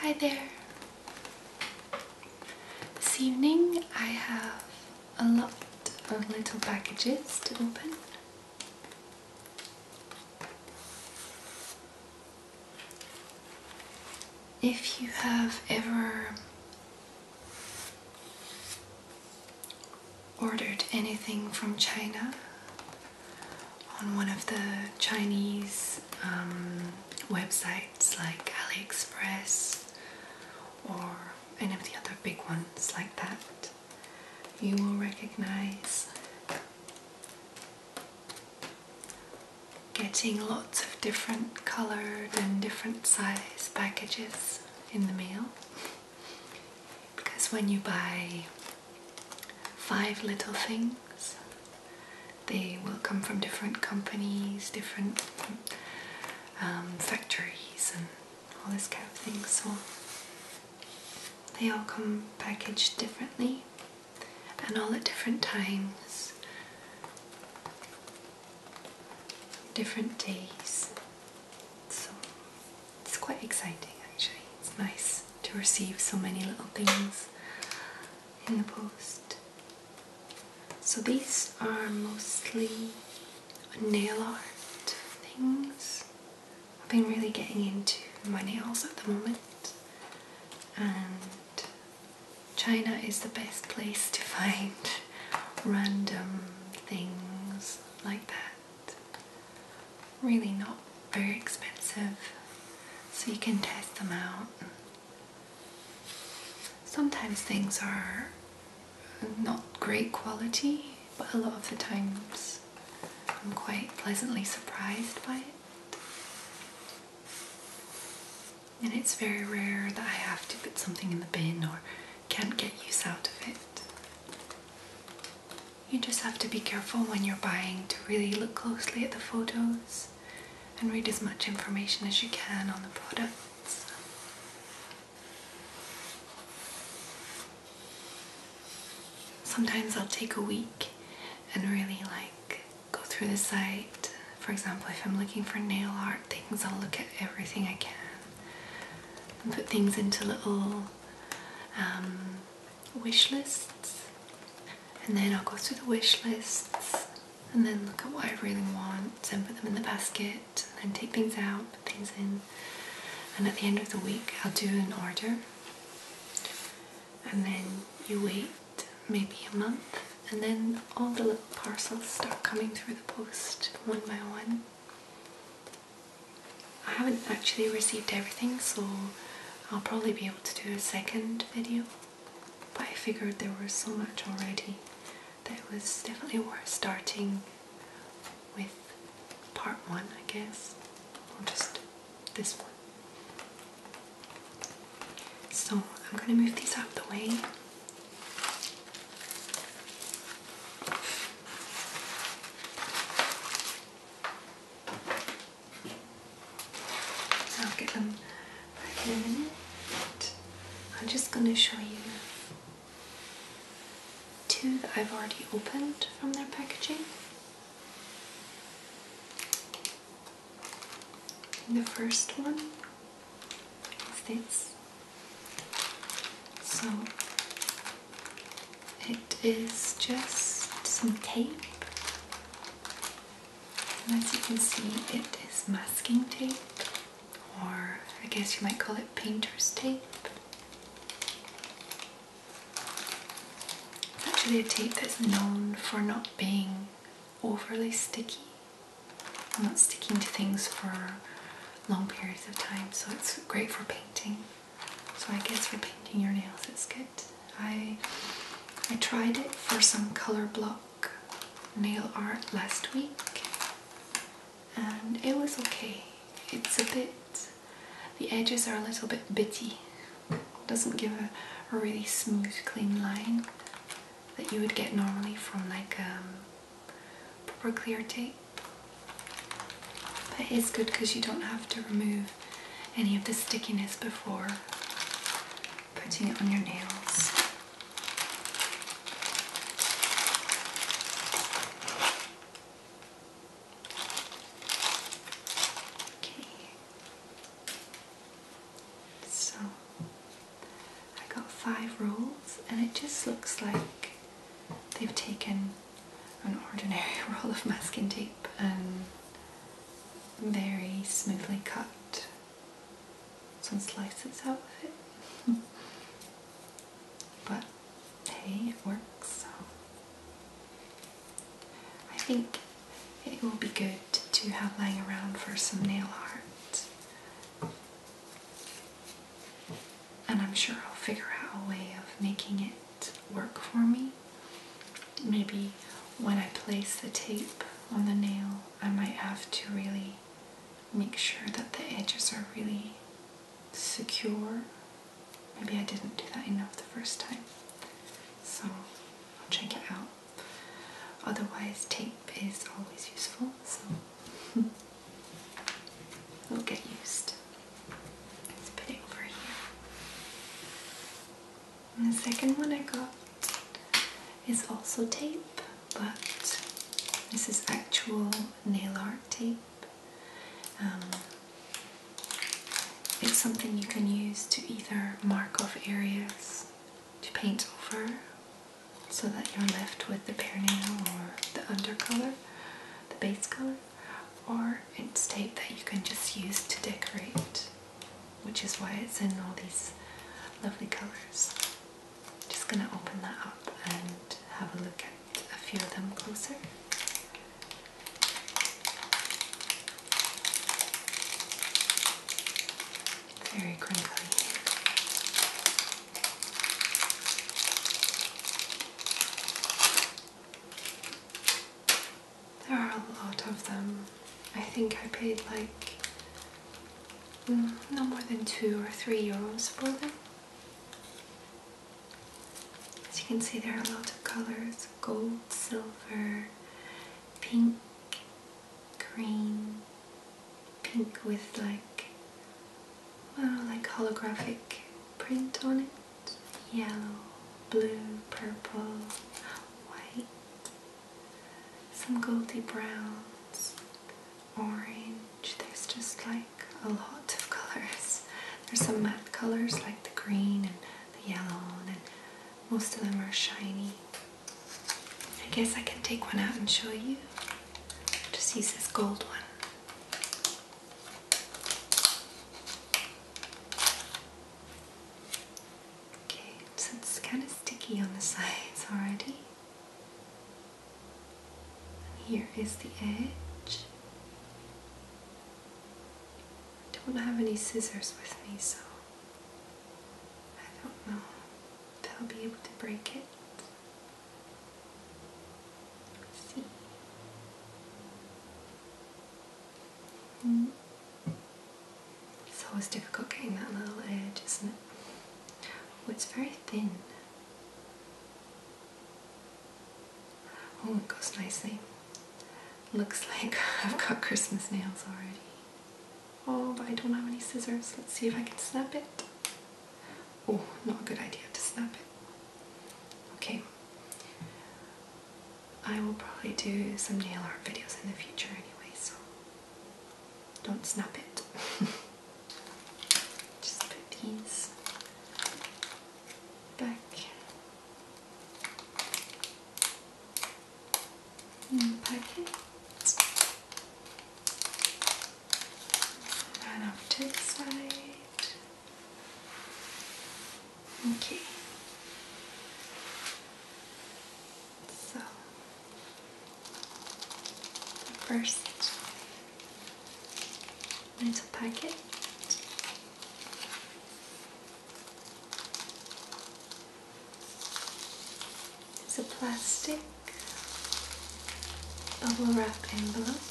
Hi there! This evening I have a lot of little packages to open. If you have ever ordered anything from China on one of the Chinese um, websites like AliExpress or any of the other big ones like that, you will recognize getting lots of different colored and different size packages in the mail because when you buy five little things. They will come from different companies, different um, factories, and all this kind of thing. So they all come packaged differently and all at different times, different days. So it's quite exciting actually, it's nice to receive so many little things in the post. So these are mostly nail art things. I've been really getting into my nails at the moment, and China is the best place to find random things like that really not very expensive, so you can test them out. Sometimes things are not great quality, but a lot of the times I'm quite pleasantly surprised by it. And it's very rare that I have to put something in the bin or can't get use out of it. You just have to be careful when you're buying to really look closely at the photos and read as much information as you can on the products. Sometimes I'll take a week and really like go through the site. For example, if I'm looking for nail art things, I'll look at everything I can and put things into little um, wish lists and then I'll go through the wish lists and then look at what I really want and put them in the basket and then take things out, put things in and at the end of the week I'll do an order and then you wait maybe a month and then all the little parcels start coming through the post one by one I haven't actually received everything so I'll probably be able to do a second video but I figured there was so much already that it was definitely worth starting with part one I guess or just this one. So I'm going to move these out of the way. I'll get them back in a minute. I'm just going to show you two that I've already opened from their packaging. The first one is this. So it is just some tape. And as you can see, it is masking tape, or I guess you might call it painter's tape. actually a tape that's known for not being overly sticky, not sticking to things for long periods of time, so it's great for painting. So I guess for painting your nails it's good. I I tried it for some color block nail art last week and it was okay. It's a bit the edges are a little bit bitty. Doesn't give a, really smooth clean line that you would get normally from like um, proper clear tape. But it's good because you don't have to remove any of the stickiness before putting it on your nails. Okay. So I got five rolls and it just looks like they've taken an ordinary roll of masking tape and very smoothly cut. Some slices out of it. but hey, it works, so I think it will be good to have lying around for some nail art. And I'm sure I'll figure out a way of making it work for me. Maybe when I place the tape on the nail, I might have to really make sure that the edges are really secure. Maybe I didn't do that enough the first time. So I'll check it out. Otherwise, tape is always useful, so it'll get used. It's a bit over here the second one I got is also tape, but this is actual nail art tape. Um, it's something you can use to either mark off areas to paint over so that you're left with the pear nail or the undercolor, the base color, or it's tape that you can just use to decorate which is why it's in all these lovely colours. Just going to open that up and have a look at a few of them closer. very crinkly. There are a lot of them. I think I paid like mm, no more than two or three euros for them. As you can see, there are a lot of colors gold, silver, pink, green, pink with like, well, like holographic print on it yellow, blue, purple, white, some goldy browns, orange. There's just like a lot of colors. There's some matte colors like the green and the yellow, and most of them are shiny. I guess I can take one out and show you. Just use this gold one. Okay, so it's kind of sticky on the sides already. And here is the edge. I don't have any scissors with me, so I don't know if I'll be able to break it. Let's see. It's always difficult getting that little edge, isn't it? Oh, it's very thin. Oh, it goes nicely. Looks like I've got Christmas nails already. Oh, but I don't have any scissors. Let's see if I can snap it. Oh, not a good idea to snap it. Okay. I will probably do some nail art videos in the future anyway, so don't snap it. Just put these back in the packet. And off to the side. Okay. So, first, little packet. It's a plastic bubble wrap envelope.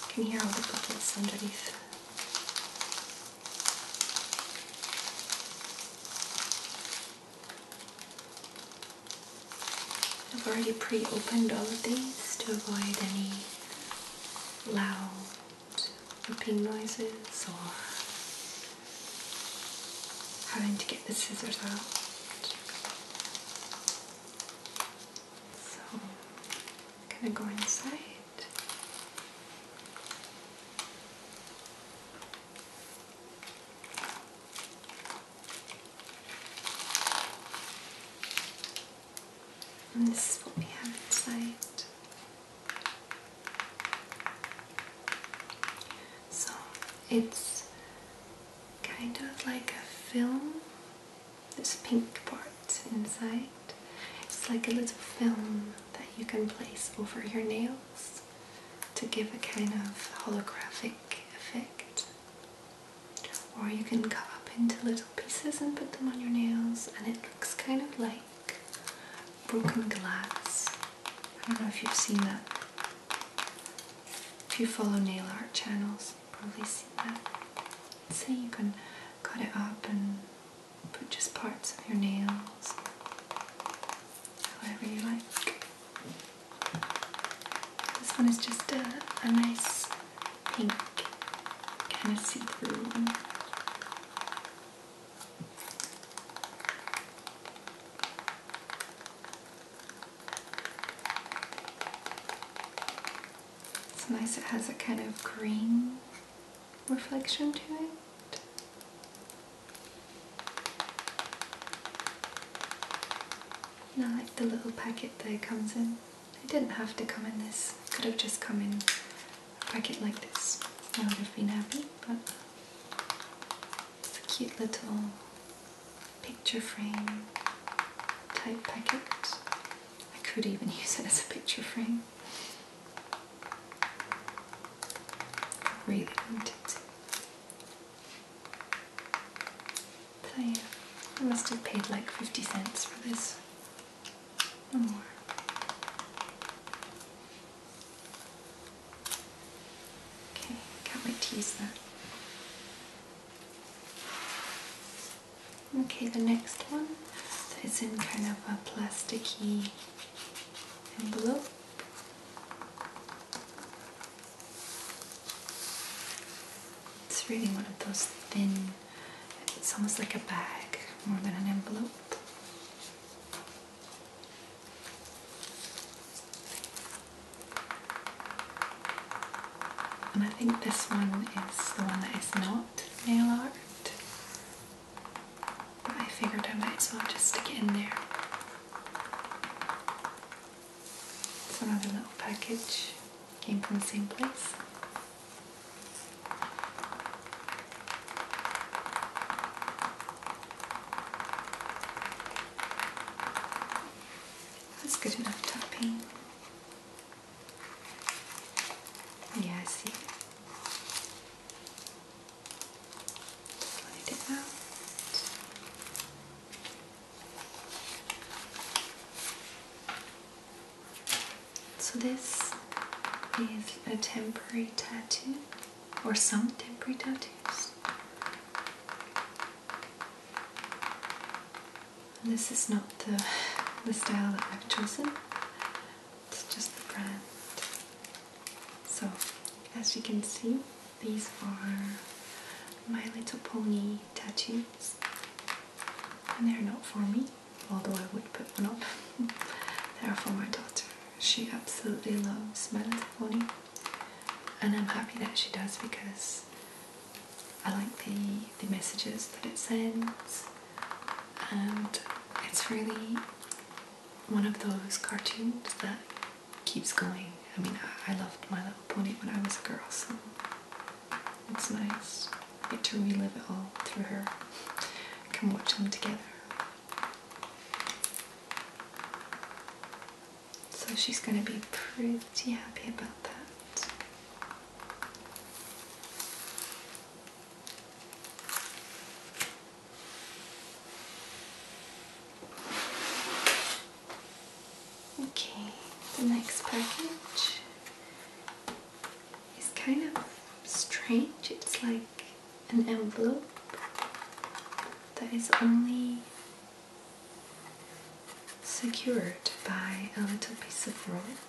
You can hear all the bubbles underneath. I've already pre-opened all of these to avoid any loud ripping noises or having to get the scissors out. So, I'm go inside. And this is what we have inside. So it's kind of like a film this pink part inside. It's like a little film that you can place over your nails to give a kind of holographic effect. Or you can cut up into little pieces and put them on your nails and it looks kind of like broken glass. I don't know if you've seen that. If you follow nail art channels, probably seen that. See, you can cut it up and put just parts of your nails, however you like. This one is just a, a nice pink, kind of see through It's nice, it has a kind of green reflection to it. And I like the little packet that comes in. It didn't have to come in this, could have just come in a packet like this. I would have been happy, but it's a cute little picture frame type packet. I could even use it as a picture frame really wanted to. So I must have paid like 50 cents for this, or more. Okay, can't wait Okay, the next one is in kind of a plasticky envelope. It's really one of those thin, it's almost like a bag more than an envelope. And I think this one is the one that is not nail art. I figured I might as well just stick it in there. It's another little package. Came from the same place. That's good enough tapping. Yeah, I see. Slide it out. So this is a temporary tattoo, or some temporary tattoos. This is not the, the style that I've chosen, it's just the brand. So, as you can see, these are My Little Pony tattoos, and they're not for me, although I would put one up. they're for my daughter. She absolutely loves My Little Pony, and I'm happy that she does because I like the, the messages that it sends and it's really one of those cartoons that keeps going. I mean, I, loved My Little Pony when I was a girl, so it's nice get to relive it all through her. Come watch them together. So she's going to be pretty happy about that. Okay, the next package is kind of strange. It's like an envelope that is only secured by a little piece of rope.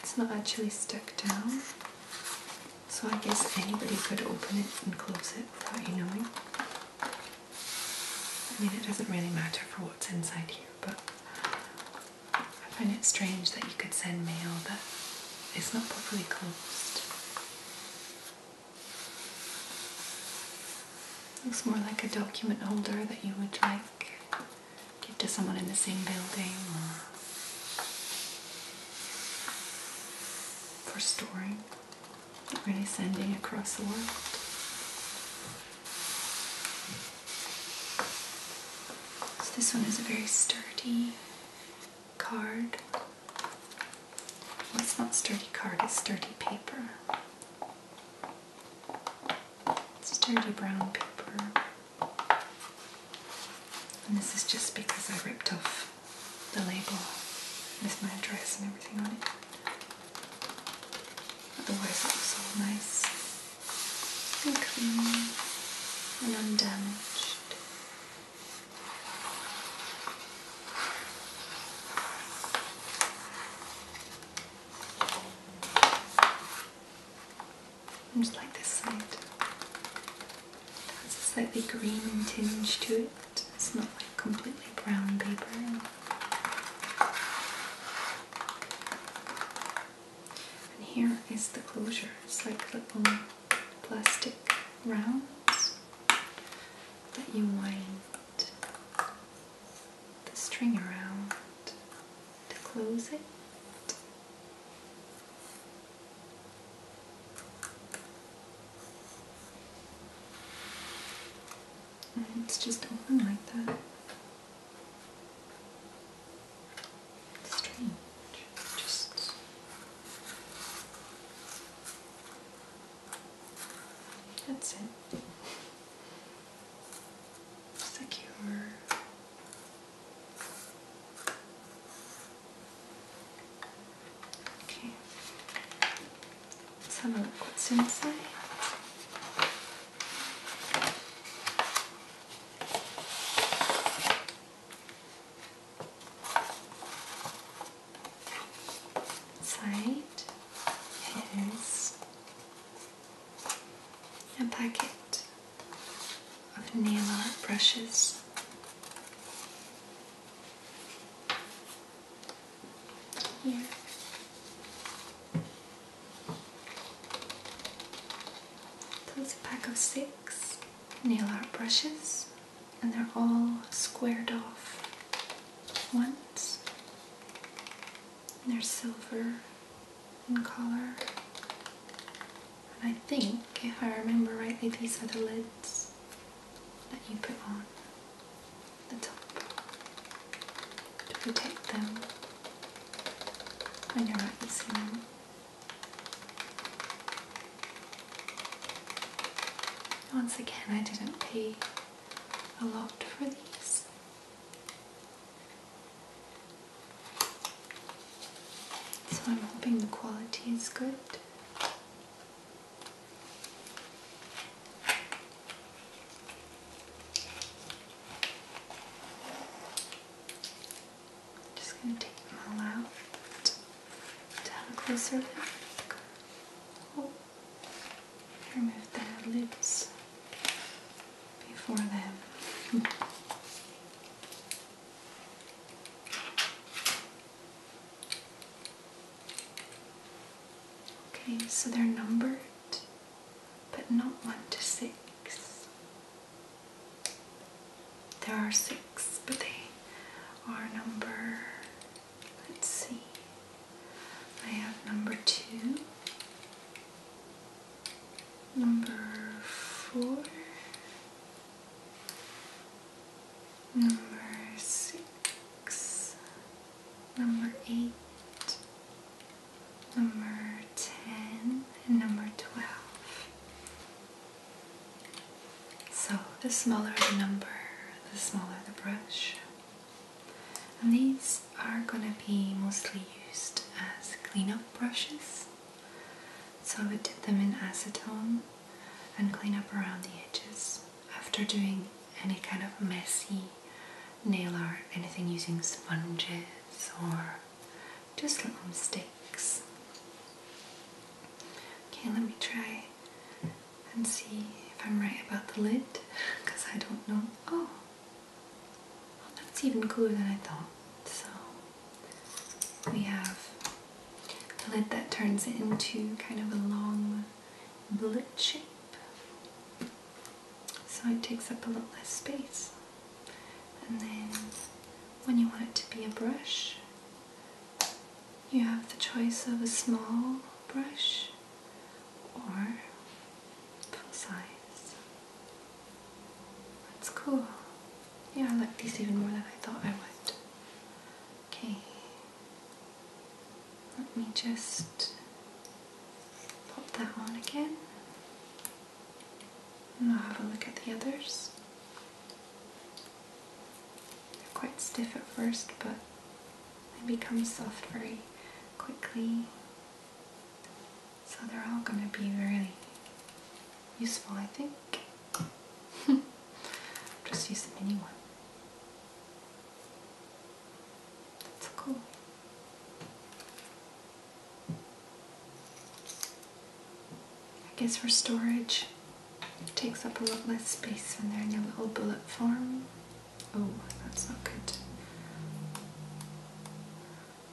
It's not actually stuck down, so I guess anybody could open it and close it without you knowing. I mean, it doesn't really matter for what's inside here, but I find it strange that you could send mail that is not properly closed. Looks more like a document holder that you would like give to someone in the same building or for storing, or any sending across the world. this one is a very sturdy card. Well, it's not sturdy card, it's sturdy paper. It's Sturdy brown paper. And this is just because I ripped off the label with my address and everything on it. Otherwise it was all nice and clean and undamaged. And just like this side. It has a slightly green tinge to it. It's not like completely brown paper. And here is the closure. It's like little plastic rounds that you wind the string around to close it. Mm-hmm. it's just open like that. strange. Just that's it. Secure. Okay, let's have a look what's inside. Inside is a packet of nail art brushes. Here. That's a pack of six nail art brushes, and they're all squared off once. And they're silver in color. And I think, if I remember rightly, these are the lids that you put on the top to protect them when you're not using them. Once again, I didn't pay a lot for these. So I'm hoping the quality is good. just going to take them all out to have a closer look. Oh, remove the lids before them. Okay, so they're numbered, but not one to six. There are six, but they are number, let's see, I have number two, number four, number six, number eight, number ten, and number twelve. So the smaller the number, the smaller the brush. And these are going to be mostly used as cleanup brushes. So I would dip them in acetone and clean up around the edges after doing any kind of messy nail or anything using sponges or just little mistakes. Okay, let me try and see if I'm right about the lid because I don't know. Oh, that's even cooler than I thought. So we have a lid that turns into kind of a long bullet shape. So it takes up a lot less space. And then when you want it to be a brush, you have the choice of a small brush or full size. That's cool. Yeah, I like these even more than I thought I would. Okay. Let me just pop that on again. And I'll have a look at the others. They're quite stiff at first, but they become soft very quickly. So they're all going to be really useful, I think. Just use the mini one. That's cool. I guess for storage, takes up a lot less space when they're in their little bullet form. Oh, that's not good.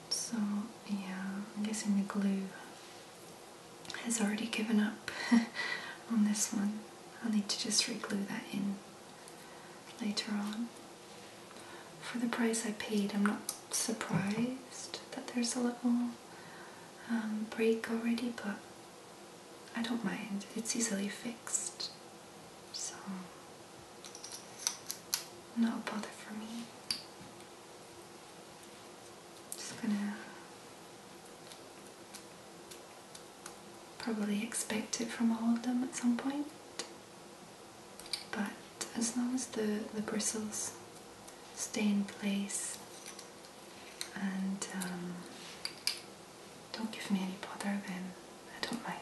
So yeah, I'm guessing the glue has already given up on this one. I'll need to just re-glue that in later on. For the price I paid, I'm not surprised that there's a little um, break already, but I don't mind. It's easily fixed, so not a bother for me. Just gonna probably expect it from all of them at some point, but as long as the, the bristles stay in place and um, don't give me any bother, then I don't mind.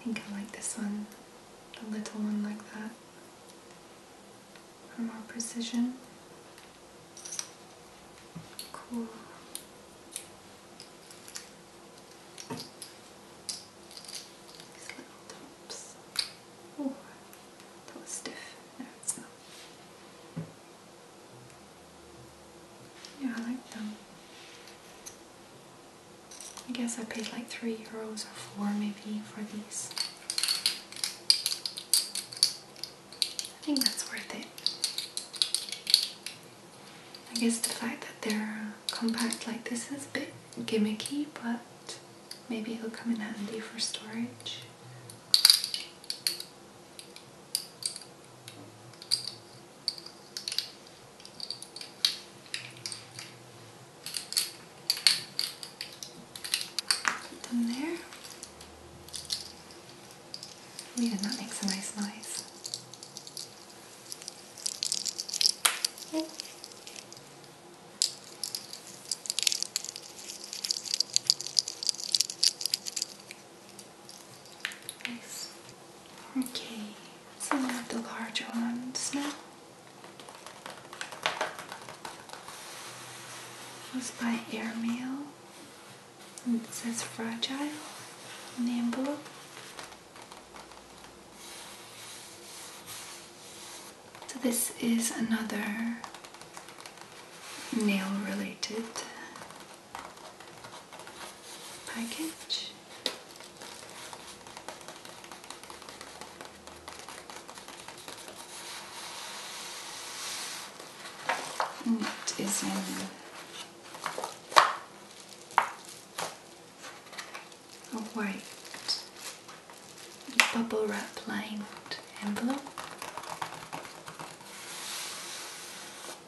I think I like this one, the little one like that, for more precision. Cool. These little tops. Oh, that was stiff. No, it's not. Yeah, I like them. I guess I paid like 3 euros or 4 maybe for these. I think that's worth it. I guess the fact that they're compact like this is a bit gimmicky, but maybe it'll come in handy for storage. Put them there. Yeah, that makes a nice noise. Okay. Nice. Okay some of the larger ones now. This was by Airmail and it says fragile on the envelope. So this is another nail related package. And it is in a white bubble wrap lined envelope.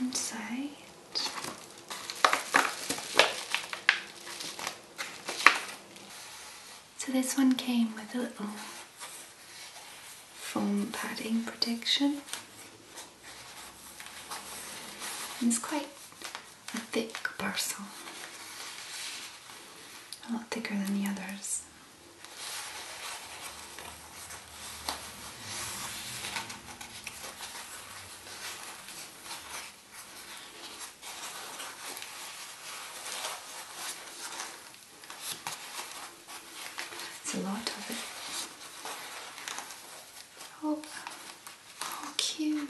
Inside. So this one came with a little foam padding protection and it's quite a thick parcel, a lot thicker than the others. It's a lot of it. Oh, how cute!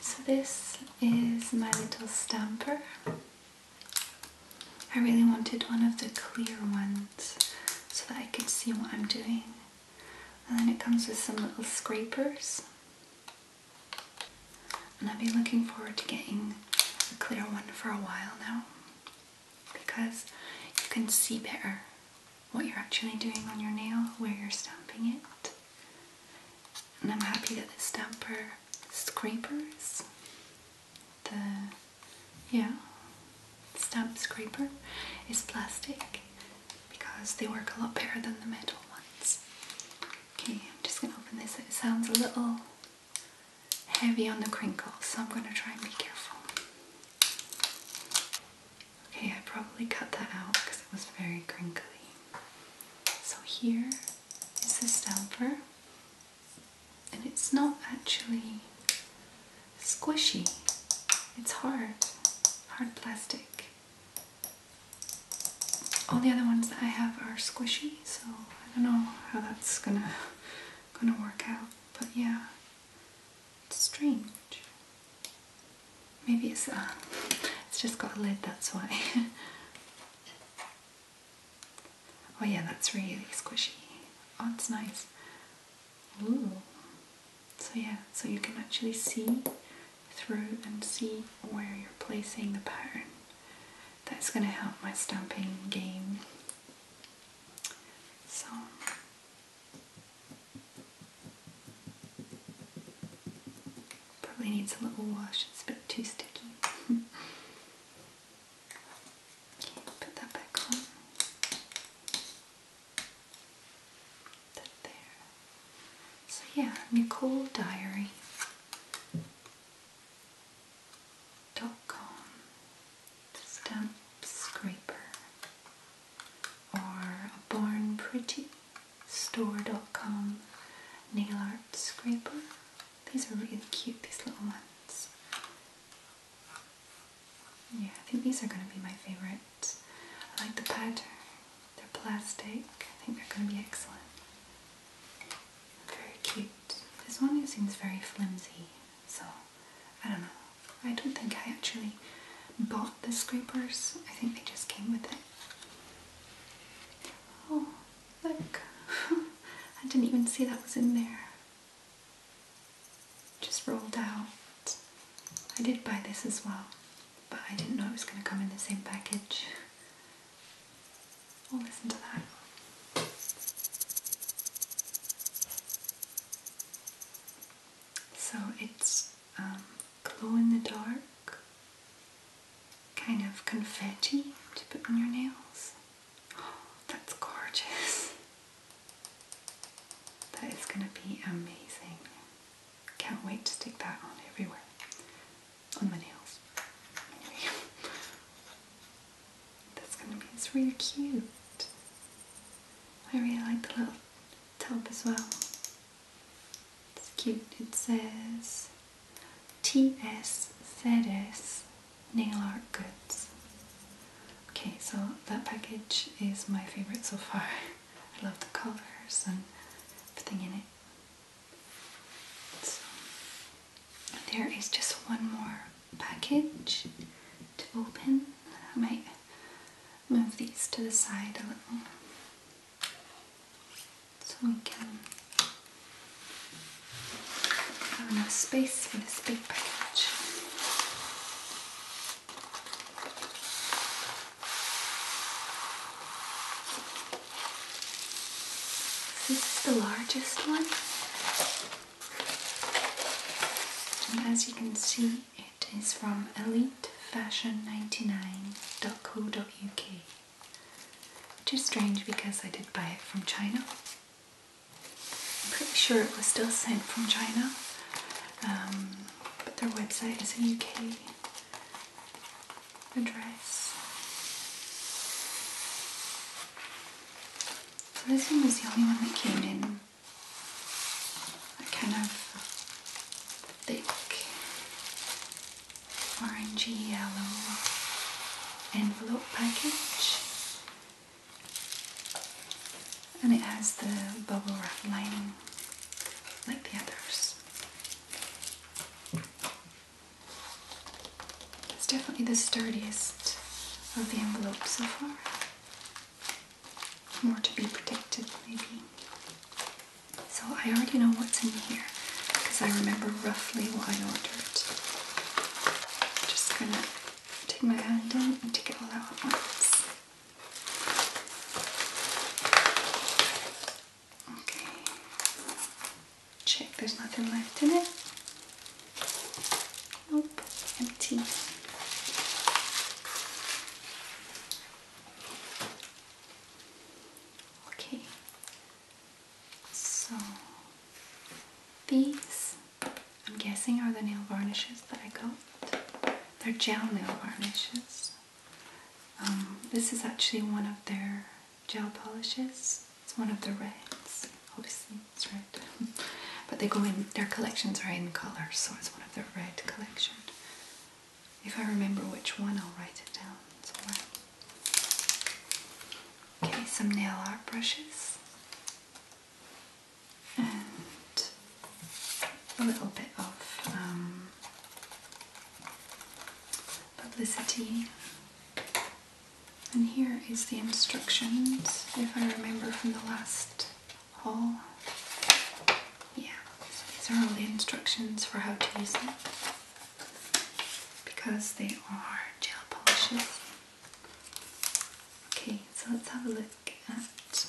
So this is my little stamper. I really wanted one of the clear ones so that I could see what I'm doing. And then it comes with some little scrapers. And I've been looking forward to getting a clear one for a while now because you can see better what you're actually doing on your nail, where you're stamping it. And I'm happy that the stamper scrapers, the yeah, stamp scraper is plastic because they work a lot better than the metal ones. Okay, I'm just gonna open this. It sounds a little heavy on the crinkles, so I'm gonna try and be careful. Okay, I probably cut that out because it was very crinkly. So here is the stamper, and it's not actually squishy, it's hard, hard plastic. All the other ones that I have are squishy, so I don't know how that's gonna gonna work out, but yeah, it's strange. Maybe it's uh, it's just got a lid, that's why. oh yeah, that's really squishy. Oh, it's nice. Ooh. So yeah, so you can actually see through and see where you're placing the pattern. That's going to help my stamping game. So, Probably needs a little wash, it's a bit too sticky. okay, put that back on. there. So yeah, Nicole Diary. Dot com stamp scraper or barnprettystore.com nail art scraper. These are really cute, these little ones. Yeah, I think these are going to be my favorites. I like the pattern. They're plastic. I think they're going to be excellent. Very cute. This one seems very flimsy, so I don't know. I don't think I actually bought the scrapers. I think they just came with it. Oh, look. I didn't even see that was in there. Just rolled out. I did buy this as well, but I didn't know it was going to come in the same package. we listen to that. So it's um, glow in the dark kind of confetti to put on your nails. that's gorgeous. That is going to be amazing. Can't wait to stick that on everywhere. On my nails. That's going to be, it's really cute. I really like the little tub as well. It's cute. It says TSZS Nail Art Goods. Okay, so that package is my favorite so far. I love the colors and everything in it. there is just one more package to open. I might move these to the side a little so we can have enough space for this big package. This is the largest one, and as you can see, it is from elitefashion99.co.uk Which is strange because I did buy it from China. I'm pretty sure it was still sent from China, um, but their website is a UK address. So this one was the only one that came in. I kind of thick orangey yellow envelope package and it has the bubble wrap lining like the others. It's definitely the sturdiest of the envelopes so far. More to be protected, maybe. So I already know what's in here because I remember roughly what I ordered. I'm just gonna take my hand in and take it all out at once. Okay. Check there's nothing left in it. Nope, empty. Okay, so these I'm guessing are the nail varnishes that I got. They're gel nail varnishes. Um, this is actually one of their gel polishes. It's one of the reds. Obviously, it's red. but they go in, their collections are in colors, so it's one of the red collection. If I remember which one, I'll write it down Okay, some nail art brushes. And a little bit of um, publicity. And here is the instructions, if I remember from the last haul yeah, so these are all the instructions for how to use them because they are gel polishes. Okay, so let's have a look at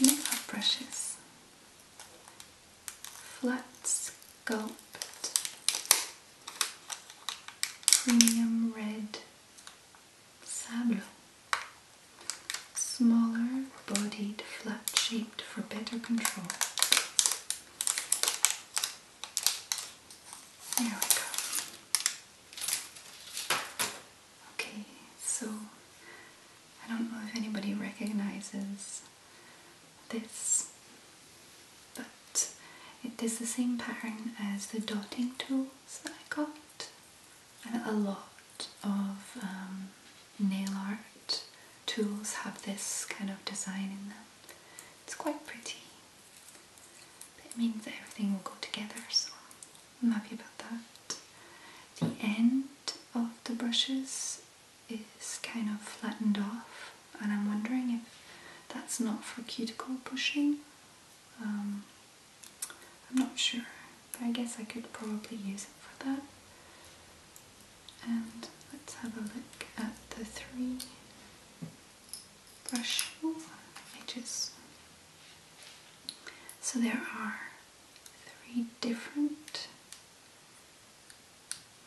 makeup brushes. Flat Sculpt Premium Red Sable smaller bodied flat shaped for better control. There we go. Okay, so I don't know if anybody recognizes this, but it is the same pattern as the dotting tools that I got. and A lot of um, nail art tools have this kind of design in them. It's quite pretty. it means everything will go together, so I'm happy about that. The end of the brushes is kind of flattened off, and I'm wondering if that's not for cuticle pushing. Um, I'm not sure, but I guess I could probably use it for that. And let's have a look at the three brush edges. So there are three different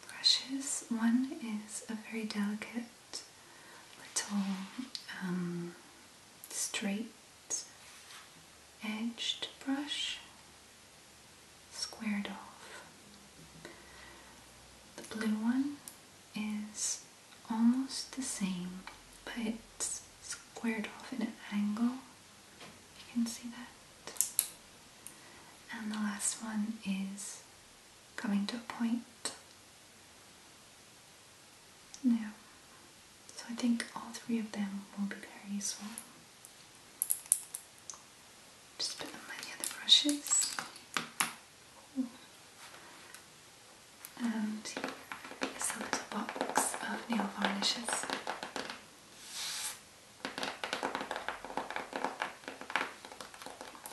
brushes. One is a very delicate little um, straight edged brush squared off. The blue one is almost the same, but it's squared off in an angle. You can see that. And the last one is coming to a point. Yeah. So I think all three of them will be very useful. Just put them with the brushes. And here is a little box of nail varnishes.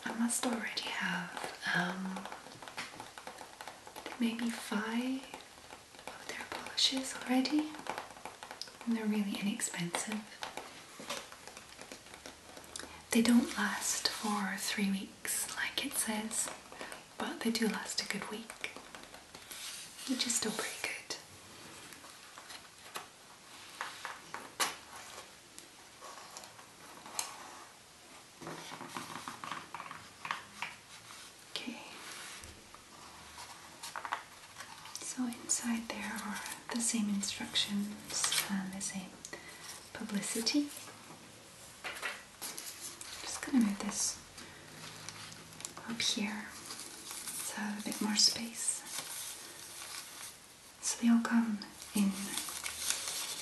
I must already have, um, maybe five of their polishes already they're really inexpensive. They don't last for three weeks, like it says, but they do last a good week, which is still pretty good. Okay, so inside there are the same instructions and the same publicity. I'm just gonna move this up here so a bit more space. So they all come in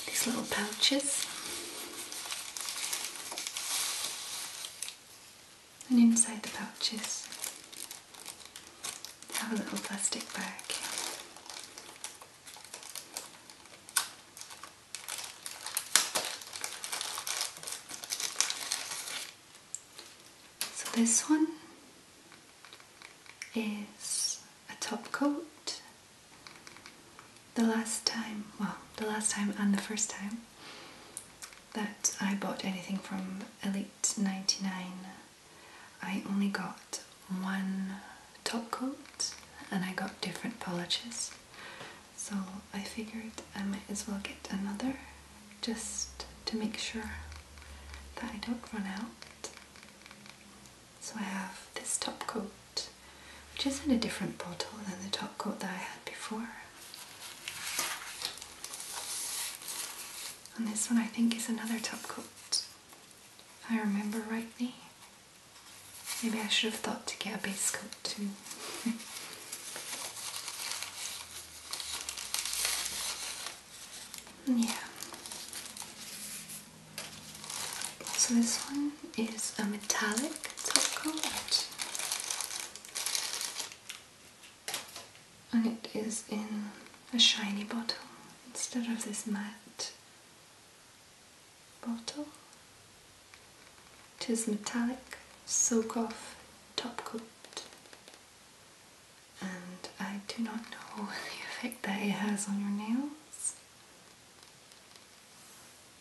these little pouches and inside the pouches have a little plastic bag. So this one is a top coat. The last time, well, the last time and the first time that I bought anything from Elite 99. I only got one top coat and I got different polishes. So I figured I might as well get another just to make sure that I don't run out. So I have this top coat, which is in a different bottle than the top coat that I had before. And this one I think is another top coat, if I remember rightly. Maybe I should have thought to get a base coat too. yeah. So this one is a metallic top coat and it is in a shiny bottle instead of this matte bottle. It is metallic, soak off, top coat, and I do not know the effect that it has on your nails.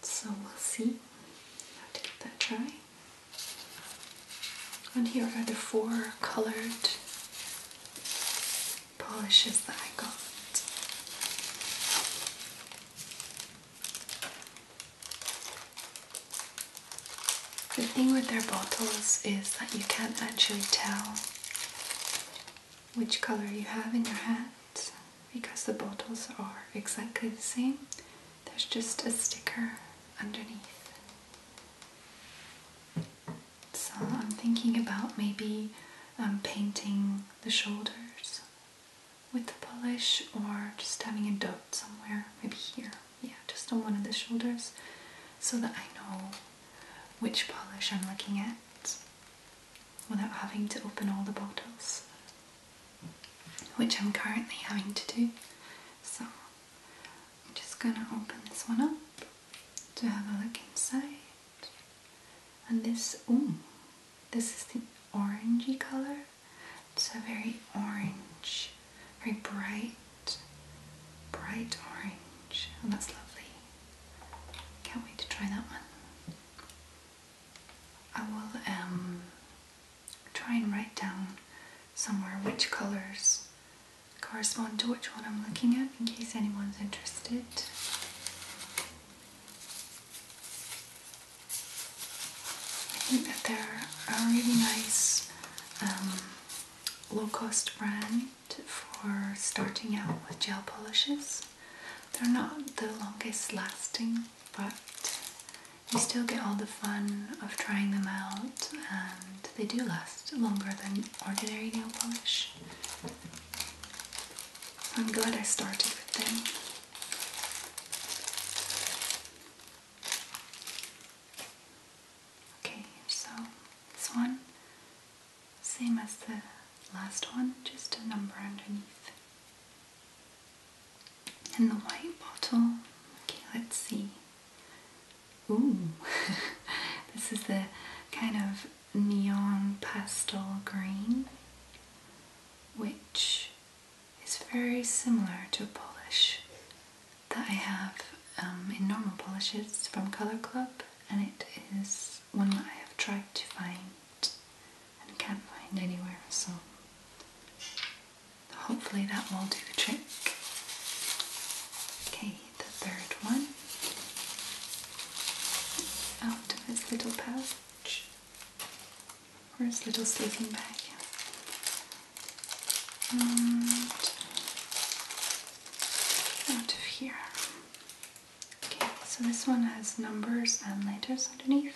So we'll see how to get that dry. And here are the four colored polishes that I got. The thing with their bottles is that you can't actually tell which color you have in your hand because the bottles are exactly the same there's just a sticker underneath. So I'm thinking about maybe um, painting the shoulders with the polish or just having a dot somewhere, maybe here. Yeah, just on one of the shoulders so that I know which polish I'm looking at without having to open all the bottles, which I'm currently having to do. So I'm just gonna open this one up to have a look inside. And this, oh this is the orangey color. It's a very orange, very bright, bright orange. Oh, that's lovely. Can't wait to try that one. I will um, try and write down somewhere which colors correspond to which one I'm looking at in case anyone's interested. I think that they're a really nice um, low cost brand for starting out with gel polishes. They're not the longest lasting, but you still get all the fun of trying them out and they do last longer than ordinary nail polish. I'm glad I started with them. Okay, so this one, same as the last one, just a number underneath. And the white bottle, okay, let's see. Ooh, this is the kind of neon pastel green, which is very similar to a polish that I have um, in normal polishes from Colour Club, and it is one that I have tried to find and can't find anywhere, so Hopefully that will do the trick. Okay, the third one out of his little pouch or his little sleeping bag. out of here. Okay, so this one has numbers and letters underneath.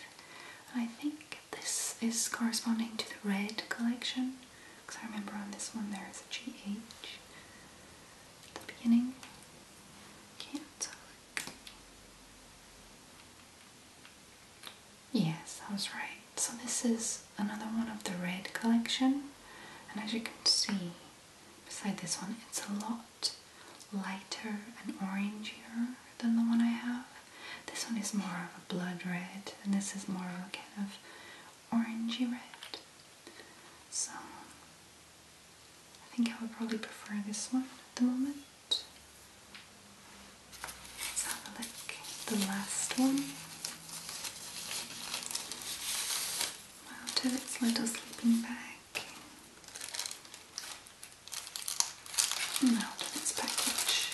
I think this is corresponding to the red collection because I remember on this one there is a GH at the beginning. can Yes, I was right. So this is another one of the red collection, and as you can see, beside this one, it's a lot lighter and orangier than the one I have. This one is more of a blood red, and this is more of a kind of orangey red. So I think I would probably prefer this one at the moment. Let's have a look the last one. Out of its little sleeping bag. out of its package.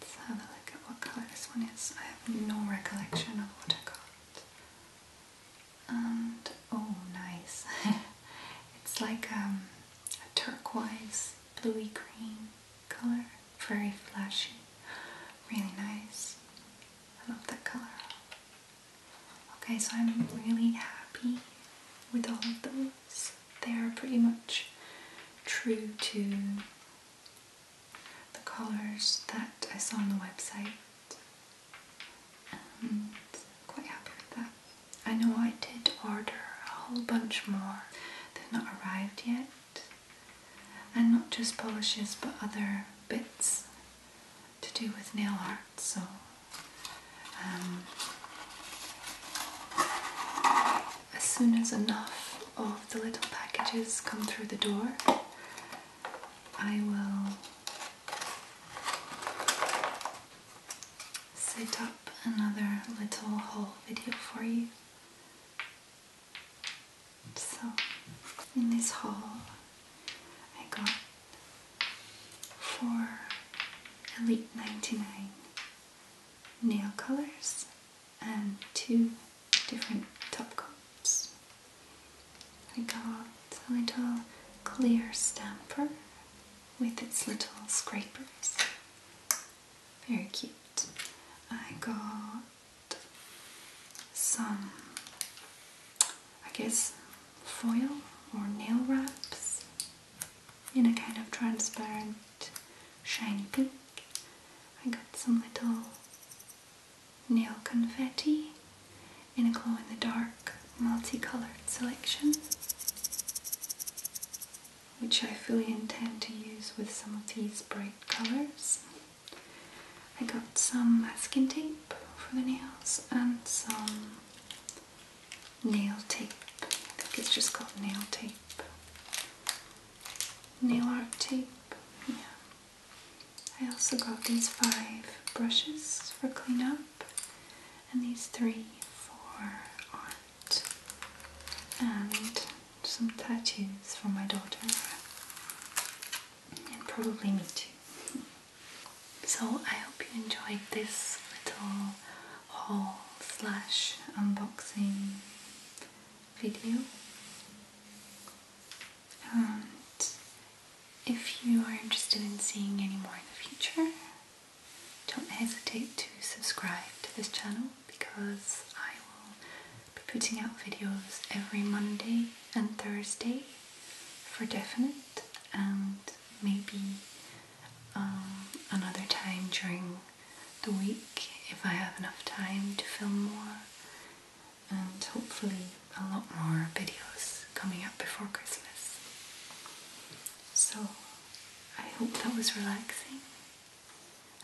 Let's have a look at what colour this one is. I have no recollection of what I got. And oh, nice! it's like um, a turquoise, bluey green colour, very flashy, really nice. I love that colour. Okay, so I'm really happy with all of those. They are pretty much true to the colours that I saw on the website quite happy with that. I know I did order a whole bunch more. They've not arrived yet. And not just polishes but other bits to do with nail art so um, as soon as enough of the little packages come through the door, I will set up another little haul video for you. So, in this haul, I got for Elite 99 nail colors and two different top coats. I got a little clear stamper with its little scrapers. Very cute. I got some, I guess, foil or nail wraps in a kind of transparent shiny pink. I got some little nail confetti in a glow in the dark multicolored selection, which I fully intend to use with some of these bright colors. I got some masking tape for the nails and some nail tape. I think it's just called nail tape. Nail art tape, yeah. I also got these five brushes for cleanup and these three for art and some tattoos for my daughter and probably me too. So I hope you enjoyed this little haul slash unboxing video. And if you are interested in seeing any more in the future, don't hesitate to subscribe to this channel because I will be putting out videos every Monday and Thursday for definite and maybe um, another time during the week if I have enough time to film more and hopefully a lot more videos coming up before Christmas. So I hope that was relaxing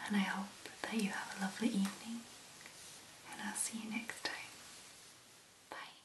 and I hope that you have a lovely evening and I'll see you next time. Bye.